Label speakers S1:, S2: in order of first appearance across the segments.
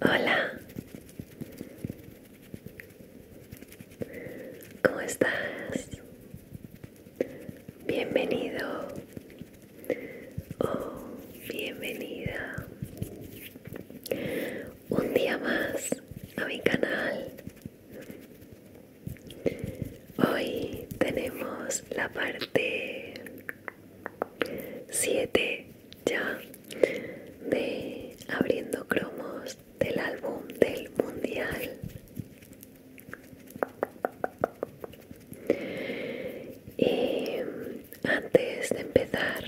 S1: Hola, ¿cómo estás? Bienvenido oh, bienvenida un día más a mi canal. Hoy tenemos la parte 7 ya de abriendo cromos del álbum del mundial y antes de empezar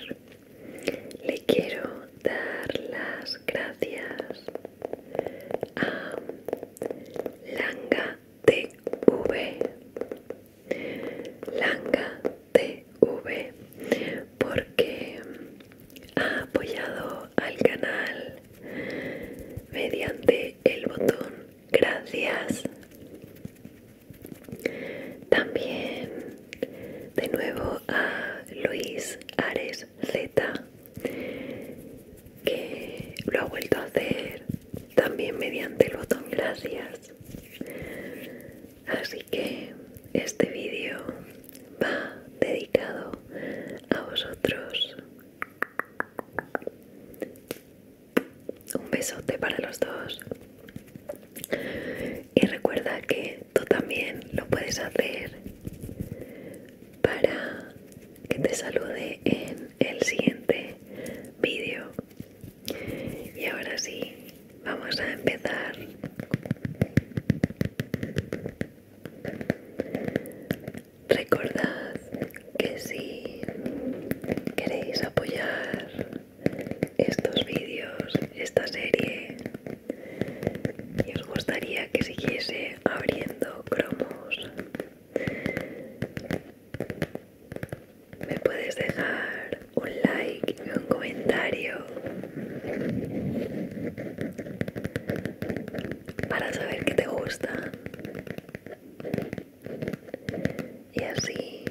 S1: le quiero dar las gracias a Langa V Langa TV porque ha apoyado al canal mediante el botón gracias también de nuevo a Luis Ares Z que lo ha vuelto a hacer también mediante el botón gracias así que este vídeo va dedicado a vosotros un besote para los dos y recuerda que tú también lo puedes hacer para que te salude en el siguiente vídeo y ahora sí, vamos a empezar. Recordad que si queréis apoyar estos vídeos, esta serie, y os gustaría que siguiese abriendo cromos, me puedes dejar un like y un comentario para saber que te gusta y así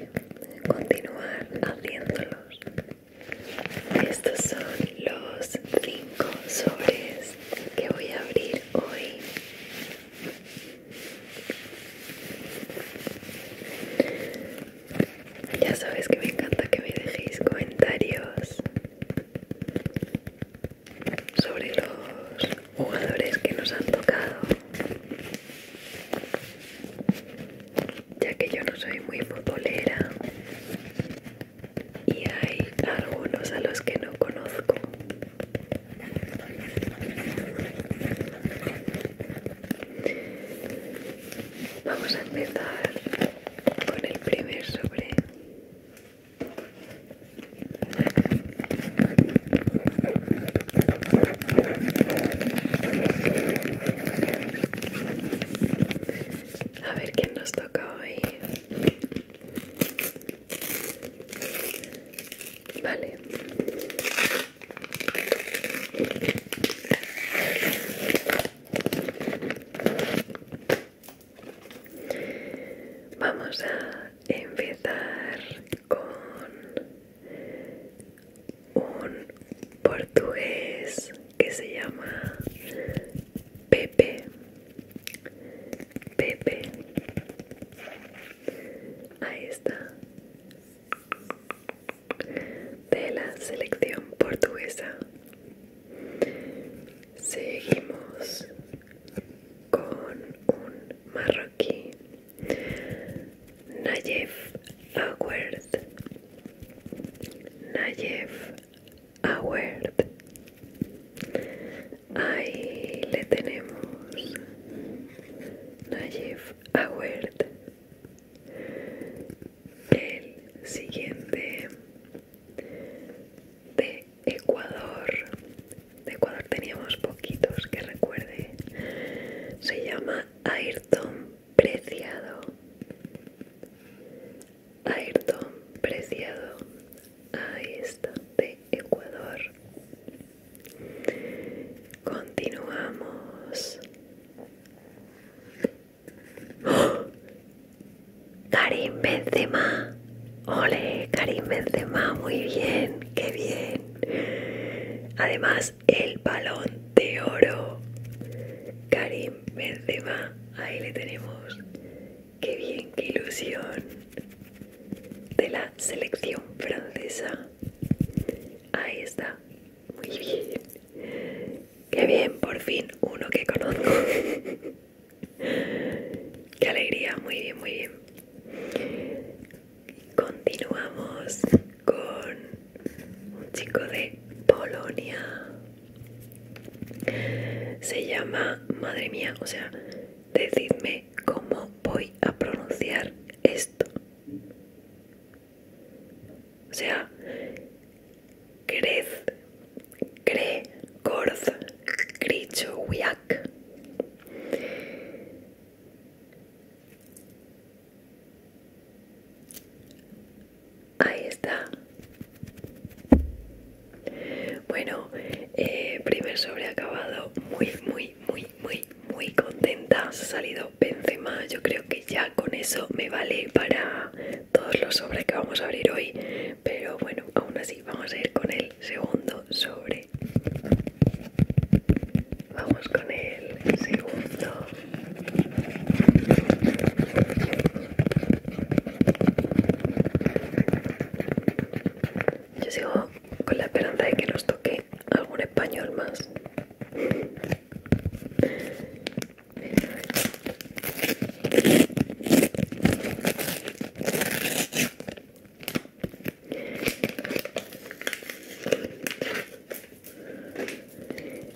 S1: continuar haciéndolos. Estos son los 5 sobres que voy a abrir hoy. Ya sabes que me encanta que me dejéis comentarios sobre los jugadores que nos han tocado, ya que yo no soy muy futbolera y hay algunos a los que no conozco Vamos a empezar con el primer sobre. A ver quién nos toca hoy. Vale. Vamos a empezar con un portugués que se llama Pepe Pepe. Ahí está. De la selección portuguesa. Seguimos con un marroquí. Nayef Award. Nayef Award. Ahí le tenemos Najif Award. El siguiente de Ecuador. De Ecuador teníamos poquitos que recuerde. Se llama Ayrton Preciado. Ayrton Preciado ahí está de Ecuador continuamos ¡Oh! Karim Benzema ole Karim Benzema muy bien qué bien además el balón de oro Karim Benzema ahí le tenemos Qué bien, qué ilusión de la selección francesa. Ahí está. Muy bien. Qué bien, por fin uno que conozco. Qué alegría, muy bien, muy bien. Continuamos con un chico de Polonia. Se llama, madre mía, o sea, Decidme cómo voy a pronunciar esto. O sea, crez, cre, corz, gricho, yak. Ahí está. Bueno, eh, primer sobre acabado, muy, muy, muy, muy, muy contenta. Se ha salido Benzema, yo creo que ya con eso me vale para todos los sobres que vamos a abrir hoy. Pero bueno, aún así vamos a ir con el segundo sobre. Vamos con el segundo. Yo sigo con la esperanza de que nos toque algún español más.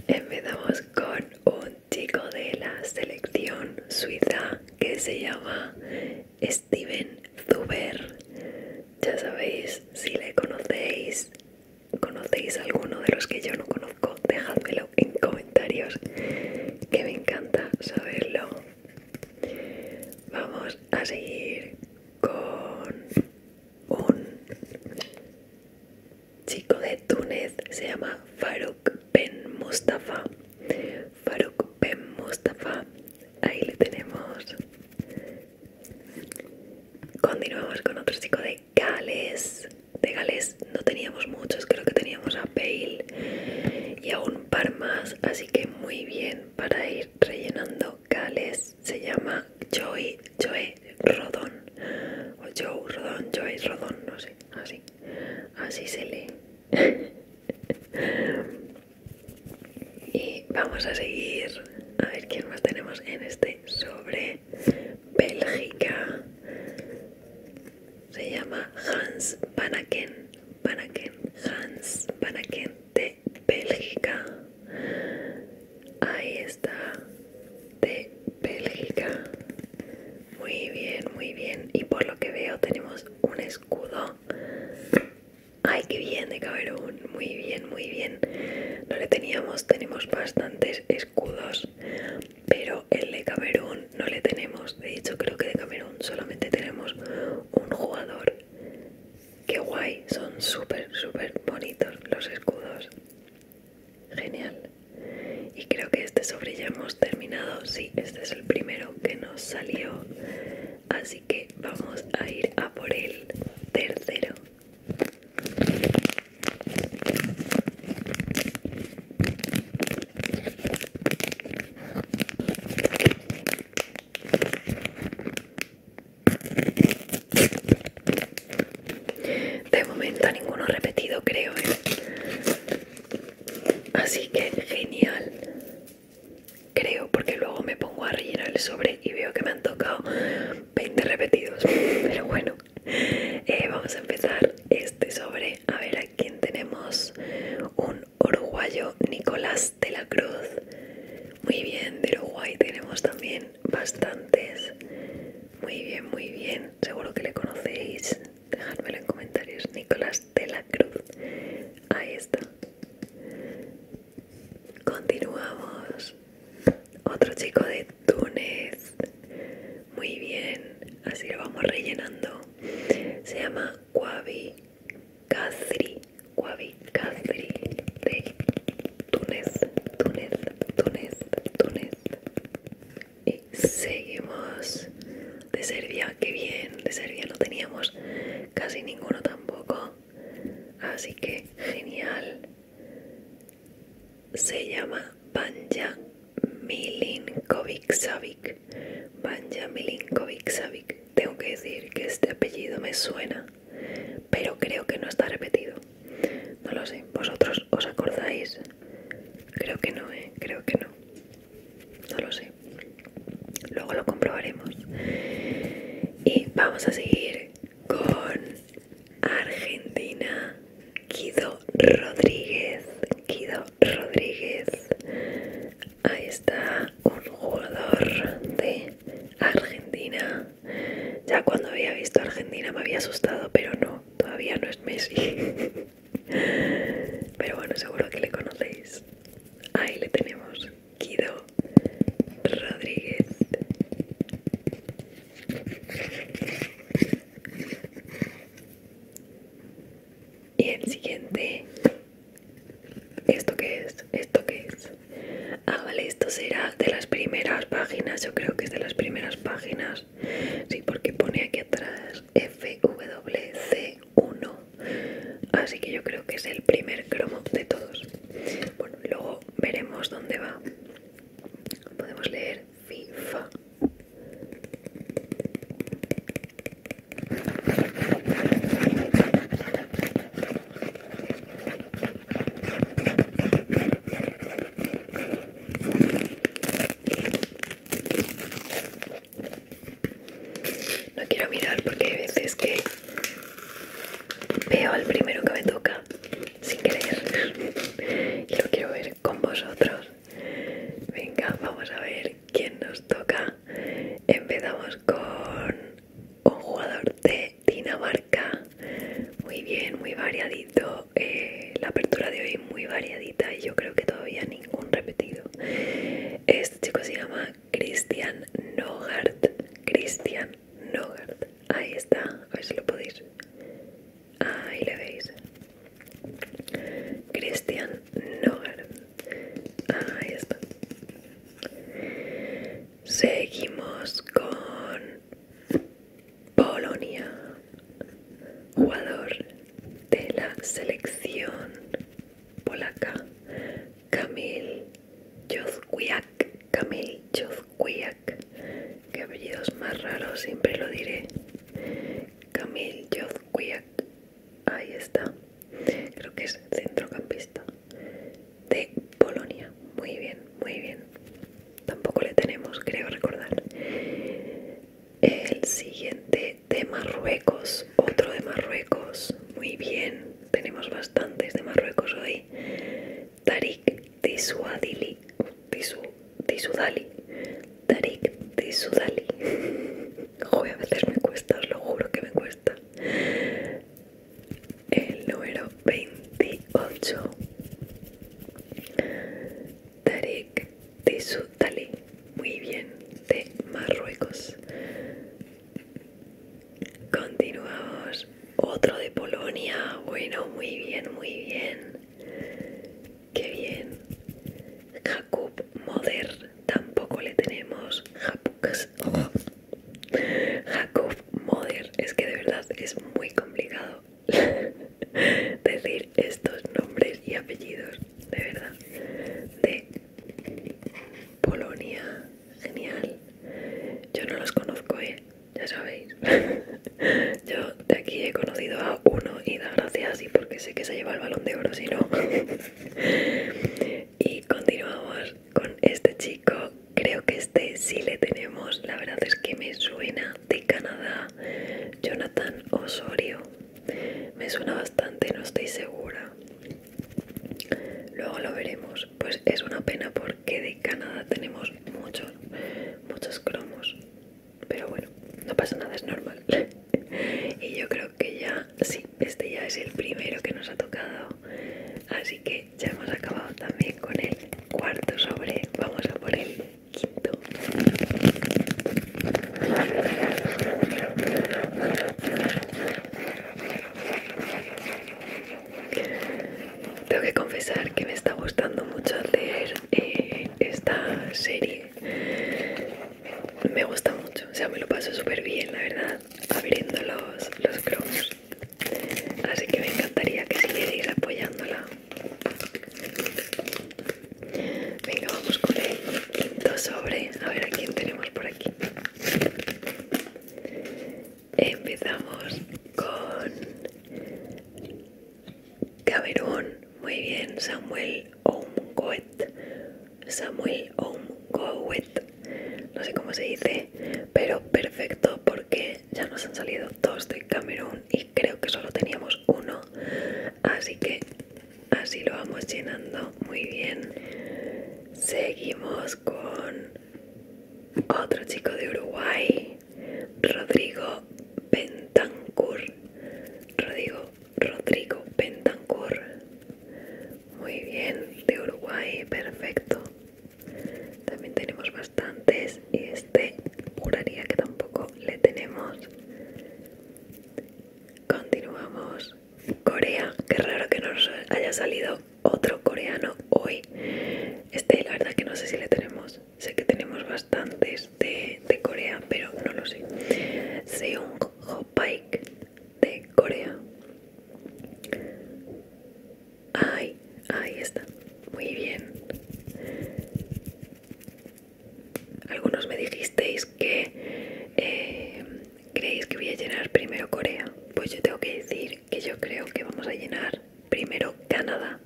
S1: Empezamos con un chico de la selección suiza que se llama Steven Zuber. Ya sabéis, si le conocéis, conocéis alguno de los que yo no conozco, dejádmelo en comentarios, que me encanta saberlo. Vamos a seguir con un chico de Túnez, se llama Faruk Ben Mustafa. Faruk Ben Mustafa. Ahí le tenemos. Continuamos con otro chico de Gales. De Gales no teníamos muchos, creo que teníamos a Bale y a un par más, así que muy bien para ir rellenando Gales. Se llama Joey Joey Rodón. O Joe Rodón, Joey Rodón, no sé, así. Así se lee. y vamos a seguir a ver quién más tenemos en este sobre Bélgica se llama Hans Vanaken Vanaken, Hans Panaken de Bélgica ahí está de Bélgica muy bien, muy bien. Y por lo que veo tenemos un escudo. Ay, qué bien de Camerún. Muy bien, muy bien. No le teníamos, tenemos bastantes escudos, pero el de Camerún no le tenemos. De hecho, creo que de Camerún solamente tenemos un jugador. Qué guay, son súper, súper bonitos los escudos. Genial. Y creo que este sobre ya hemos terminado. Sí, este es el primero que nos salió así que vamos a ir a por el tercero de momento ninguno repetido creo ¿eh? Así que genial. Creo, porque luego me pongo a rellenar el sobre y veo que me han tocado 20 repetidos. Pero bueno, eh, vamos a empezar este sobre. A ver a quién tenemos. Un uruguayo, Nicolás de la Cruz. Muy bien, de Uruguay tenemos también bastantes. Muy bien, muy bien. Seguro que le conocéis. Dejadmelo en comentarios. Nicolás de la cruz. Ahí está. Continuamos. Otro chico de Túnez. Muy bien. Así lo vamos rellenando. Se llama Guavi Kasri. Guavi Kasri de Túnez. Túnez, Túnez, Túnez y eh, seguimos de Serbia, que bien, de Serbia no teníamos casi ninguno tampoco, así que genial. Se llama Banja Milinkovic Savic. Banja Milinkovic Savic. Tengo que decir que este apellido me suena, pero creo que no está repetido. No lo sé, ¿vosotros os acordáis? Creo que no, ¿eh? Creo que no no lo sé luego lo comprobaremos y vamos a seguir con Argentina Guido Rodríguez Guido Rodríguez ahí está un jugador de Argentina ya cuando había visto Argentina me había asustado pero no todavía no es Messi Pero bueno, seguro que le conocéis. Ahí le tenemos, Guido Rodríguez. Y el siguiente, ¿esto qué es? ¿Esto qué es? Ah, vale, esto será de las primeras páginas, yo creo que es de las primeras páginas. Sí, porque pone aquí atrás FWC1 así que yo creo que es el primer cromo de todos bueno, luego veremos dónde va podemos leer FIFA no quiero mirar porque hay veces que veo al primero que me toca sin querer y lo quiero ver con vosotros. Venga, vamos a ver quién nos toca. Empezamos con un jugador de Dinamarca. Muy bien, muy variadito. Eh, la apertura de hoy muy variadita y yo creo que todavía ningún repetido. Este chico se llama Christian Nogart. Christian Nogart. Ahí está. A ver si lo podéis. Ahí le veis. Christian Nogart. Ahí está. Seguimos con Polonia jugador de la selección polaca Kamil Jozwiak Kamil Jozwiak que apellidos más raros siempre lo diré Kamil Jozwiak ahí está creo que es centrocampista de Polonia muy bien muy bien tampoco le tenemos creo recordar el siguiente de Marruecos, otro de Marruecos. Muy bien, tenemos bastantes de Marruecos hoy. Tarik Tisuadili, Tisu, Tisudali, Tarik Tisudali. Joder, a veces me cuesta, os lo juro que me cuesta. El número 28. Tarik de su muy bien, de Marruecos. Continuamos, otro de Polonia, bueno, muy bien, muy bien, qué bien. Jakub Moder, tampoco le tenemos. Jakub Moder, es que de verdad es muy complicado decir estos nombres y apellidos, de verdad. De Polonia, genial. Yo no los conozco, ¿eh? Ya sabéis. Yo de aquí he conocido a uno y da gracias y porque sé que se lleva el balón de oro, si no. y continuamos con este chico. Creo que este sí le tenemos. La verdad es que me suena de Canadá, Jonathan Osorio. Me suena bastante, no estoy segura. Luego lo veremos. Pues es una pena porque de Canadá tenemos muchos, muchos cromos. Pero bueno, no pasa nada, es normal. y yo creo que ya, sí, este ya es el primero que nos ha tocado. Así que ya hemos acabado también con el cuarto sobre. Vamos a por él quinto tengo que confesar que me está gustando mucho hacer eh, esta serie me gusta mucho o sea me lo paso súper bien la verdad abriendo los, cromos así que me encantaría que siguiera apoyándola Venga, vamos con el quinto sobre. A ver a quién tenemos por aquí. Empezamos con Camerún. Muy bien, Samuel Omgoet. Samuel Omgoet. No sé cómo se dice, pero perfecto porque ya nos han salido dos de Camerún y creo que solo teníamos uno así que así lo vamos llenando muy bien seguimos con otro chico de Uruguay Rodrigo Pentancur. Rodrigo Rodrigo Bentancur muy bien de Uruguay perfecto también tenemos más bastantes y este juraría que tampoco le tenemos. Continuamos. Corea, que raro que nos haya salido otro coreano hoy. Este, la verdad que no sé si le tenemos. Sé que tenemos bastantes de, Corea, pero no lo sé. Seung Ho Paik de Corea. Ay, ahí está. Muy bien algunos me dijisteis que eh, creéis que voy a llenar primero Corea. Pues yo tengo que decir que yo creo que vamos a llenar primero Canadá.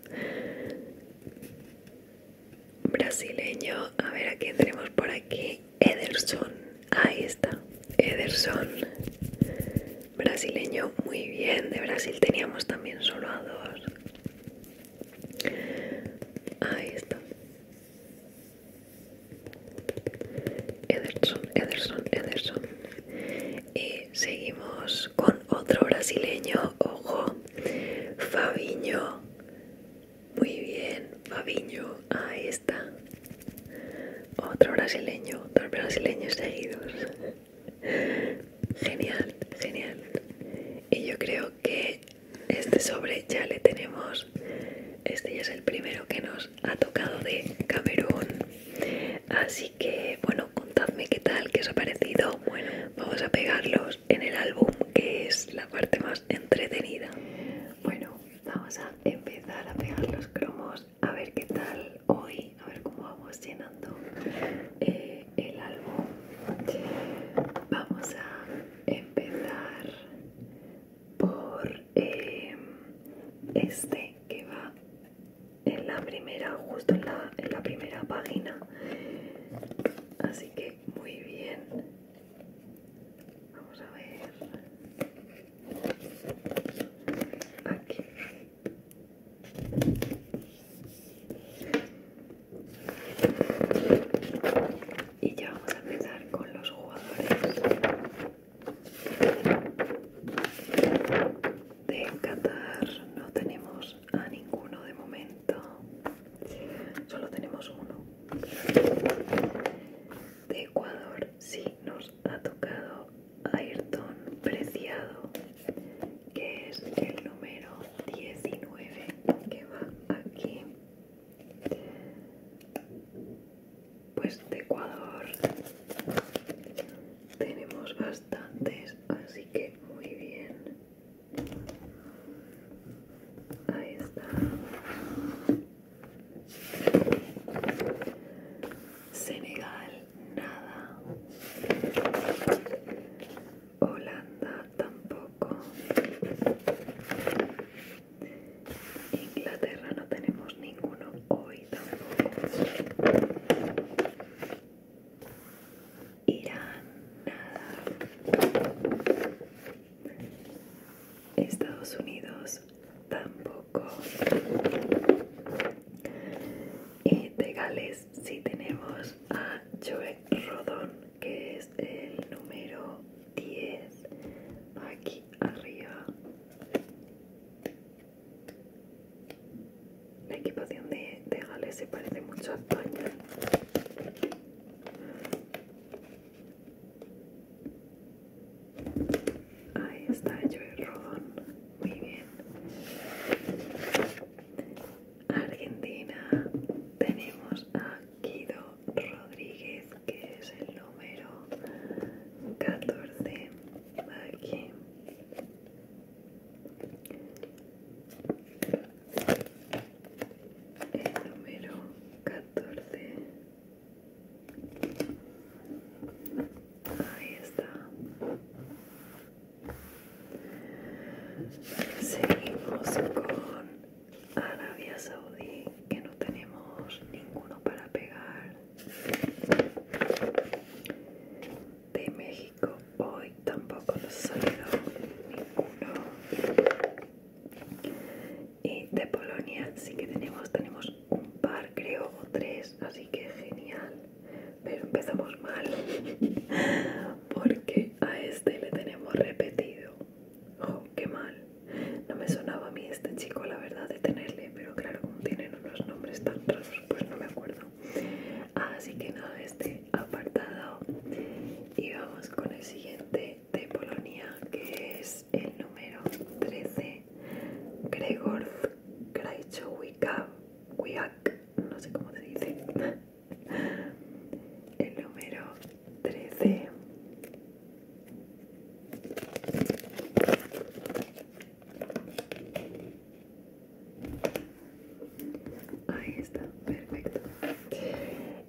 S1: Brasileño, a ver aquí quién tenemos por aquí. Ederson, ahí está. Ederson, brasileño, muy bien. De Brasil teníamos también solo a dos. Ahí está. Ederson, Ederson, Ederson. Y seguimos con otro brasileño. Ojo, Fabiño. Muy bien, Fabiño. Ahí está. Otro brasileño, dos brasileños seguidos. Genial, genial. Y yo creo que este sobre ya le tenemos. Este ya es el primero que nos ha tocado de Camerún. Así que, bueno, contadme qué tal, qué os ha parecido. Bueno, vamos a pegarlos en el álbum, que es la parte más entretenida. Bueno, vamos a empezar a pegar los cromos, a ver qué tal hoy a ver cómo vamos llenando eh, el álbum vamos a empezar por eh, este que va en la primera justo en la, en la primera página así que muy bien vamos a ver aquí y ya vamos a empezar con los jugadores de Qatar. No tenemos a ninguno de momento, solo tenemos uno. De Ecuador sí nos ha tocado Ayrton Preciado que es el número 19 que va aquí pues de Ecuador tenemos bastantes así que muy bien ahí está Senegal nada. Holanda tampoco. Inglaterra no tenemos ninguno hoy tampoco. Irán, nada. Estados Unidos tampoco. Y de Gales si tenemos a Joe Rodón, que es el número 10, aquí arriba. La equipación de, de se parece mucho a España. Ahí está Joe Rodón, muy bien. Argentina tenemos a Guido Rodríguez, que es el número 14 aquí. El número 14. Ahí está. Seguimos con Arabia Saudí, que no tenemos ninguno para pegar. De México hoy tampoco nos salió ninguno. Y de Polonia sí que tenemos, tenemos un par creo o tres, así que genial pero empezamos mal porque a este le tenemos repetido oh qué mal no me sonaba a mí este chico la verdad de tenerle pero claro como tienen unos nombres tan raros pues no me acuerdo así que nada este apartado y vamos con el siguiente de Polonia que es el número 13 Gregor Krajcowicz no sé cómo te dice. El número 13. Ahí está, perfecto.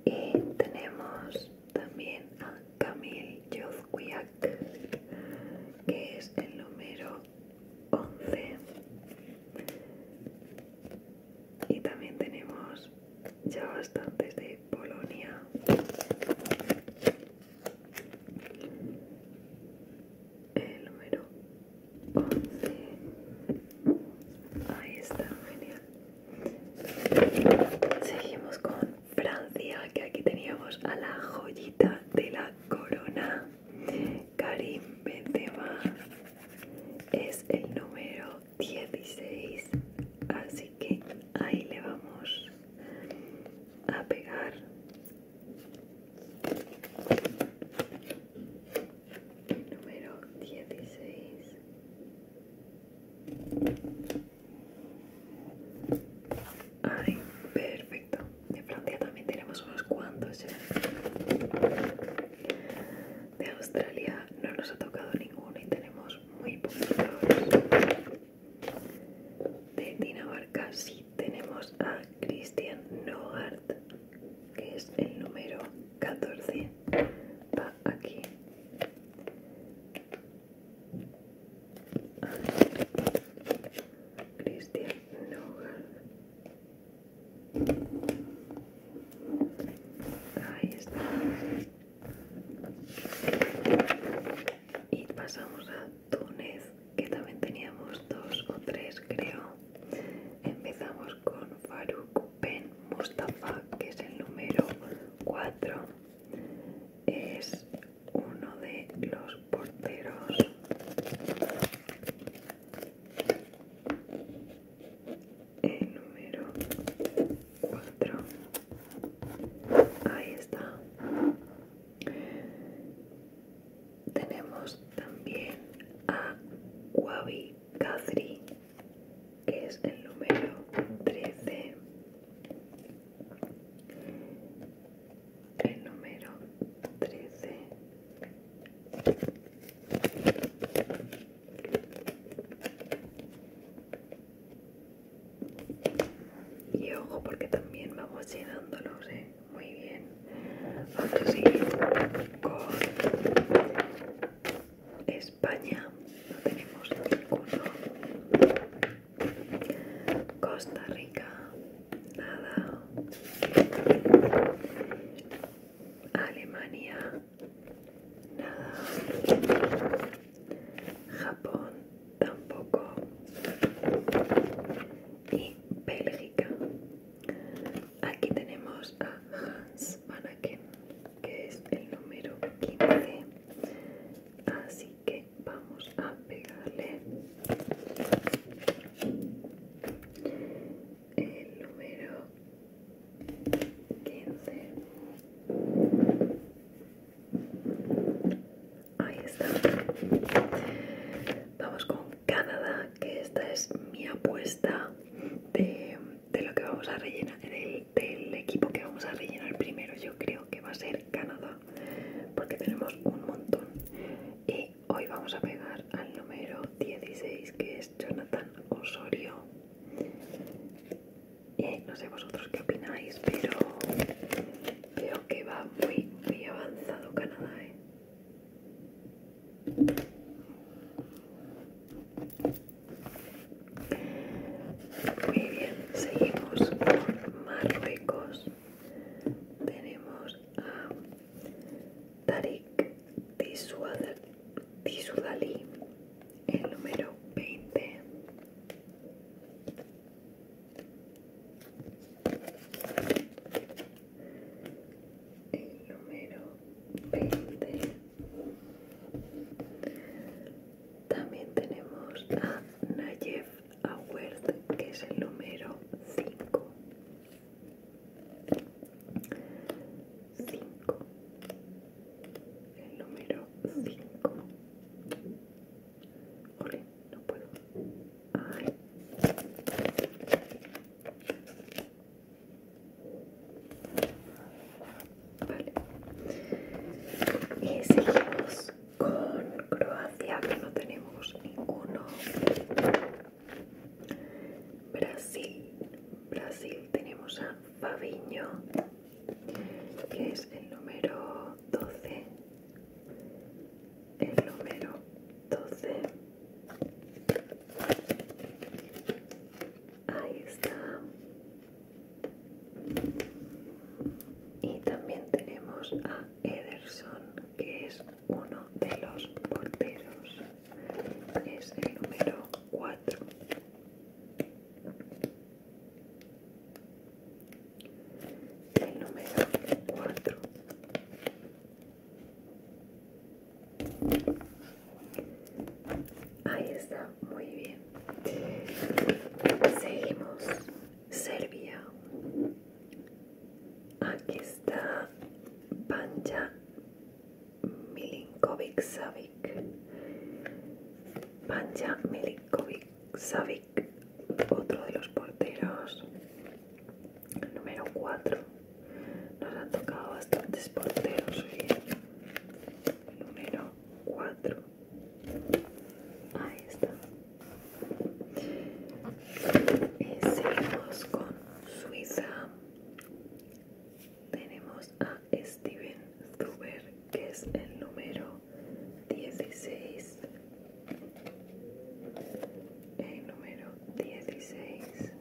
S1: Y tenemos también a Camille Yozquiak, que es el número 11 y también tenemos ya bastantes de Polonia el número 11 ahí está, genial seguimos con Francia que aquí teníamos a la joya de la corona Karim Benzema es el número 16 así que ahí le vamos a pegar el número 16 Ay, perfecto de Francia también tenemos unos cuantos De Australia no nos ha tocado ninguno y tenemos muy poquitos. De Dinamarca sí tenemos a Christian Nogart, que es el número 14. Va aquí. Christian Nogal Ahí está. Y pasamos a Túnez, que también teníamos dos o tres, creo. Empezamos con Farouk Ben Mustafa, que es el número 4. Es uno de los porteros el número 4 ahí está tenemos también a Wabi Katri, que es el número 13 el número 13 y ojo porque también vamos llenándolos ¿eh? muy bien vamos a seguir con España no tenemos ninguno Costa Rica, nada. Alemania, nada. Japón, tampoco. Y Bélgica. Aquí tenemos a Hans Vanaken, que es el número 15. Así que vamos a pegarle el número 15 ahí está vamos con Canadá que esta es mi apuesta de, lo que vamos a rellenar del equipo que vamos a rellenar primero yo creo que va a ser Canadá porque tenemos un montón y hoy vamos a pegar al número 16 que es Jonathan Osorio y no sé vosotros qué opináis pero veo que va muy muy avanzado Canadá ¿eh? Muy bien, seguimos con Marruecos tenemos a Tariq Tisudali, el número 20. El número 20. También tenemos a Nayef Award, que es el número 5. 5. El número 5. Ole, no puedo. Ay. Vale. Y seguimos con Croacia, que no tenemos ninguno. Brasil, Brasil tenemos a Fabiño, que es el número 12. El número 12. Ahí está. Y también tenemos a Ederson, que es uno de los porteros. Es el número 4. El número 4. Ahí está, muy bien. Seguimos Serbia. Aquí está Panja Milinkovic Savic. Panja Milinkovic Savic, otro de los porteros. Número 4. Nos han tocado bastantes porteros hoy. ¿eh? Número 4 ahí está seguimos con Suiza tenemos a Steven Zuber que es el número 16 el número 16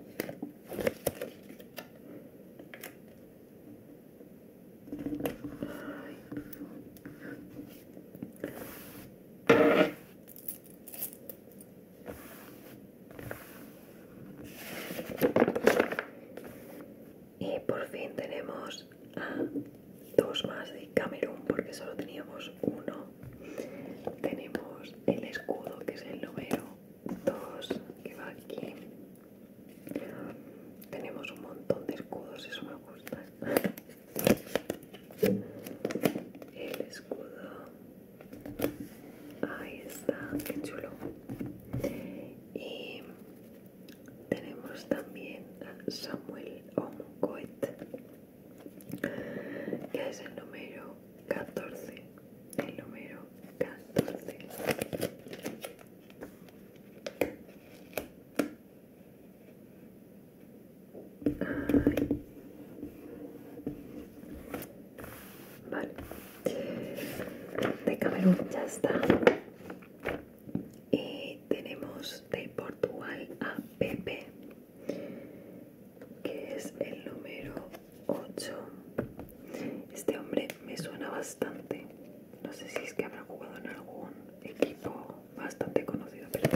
S1: y por fin tenemos dos más de Camerún porque solo teníamos uno. Tenemos el escudo que es el número dos que va aquí. Tenemos un montón de escudos, eso me gusta el escudo ahí está qué chulo y tenemos también a Samuel Omcoet que es el número 14 el número 14 de Camerún ya está. Y tenemos de Portugal a Pepe, que es el número 8. Este hombre me suena bastante no sé si es que habrá jugado en algún equipo bastante conocido, pero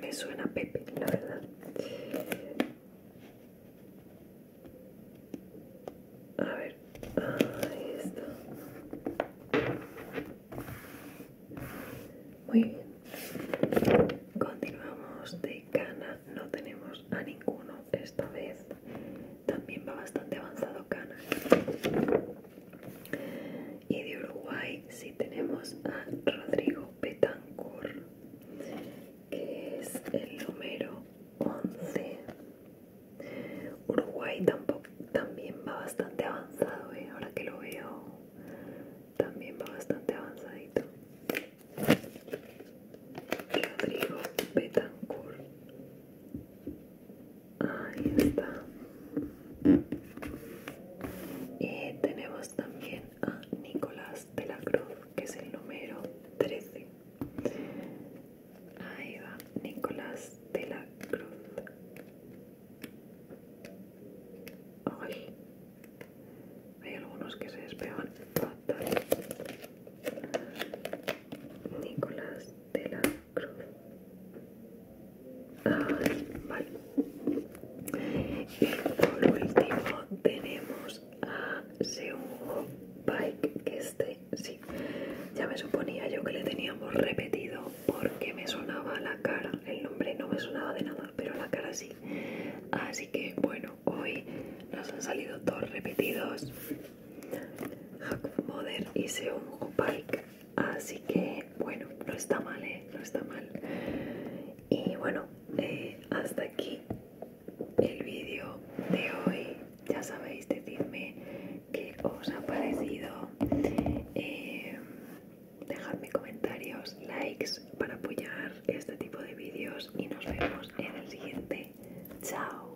S1: me suena Pepe, la verdad. A ver, ah, ahí está. Muy bien. Continuamos de Cana, no tenemos a ninguno esta vez. También va bastante avanzado Cana. Y de Uruguay sí tenemos a Rodrigo Betancourt, que es el número 11. Uruguay tampoco, también va bastante avanzado, ¿eh? ahora que lo veo, también va bastante avanzadito. Rodrigo Betancourt ahí está y tenemos también a Nicolás de la Cruz que es el número 13 ahí va Nicolás de la Cruz Ay, hay algunos que se despegan Nicolás de la y eh, por último tenemos a eh, Seung Bike que este sí, ya me suponía yo que le teníamos repetido porque me sonaba la cara, el nombre no me sonaba de nada, pero la cara sí. Así que bueno, hoy nos han salido dos repetidos y y un Pike así que bueno no está mal ¿eh? no está mal y bueno eh, hasta aquí el vídeo de hoy ya sabéis decidme qué os ha parecido eh, dejadme comentarios likes para apoyar este tipo de vídeos y nos vemos en el siguiente chao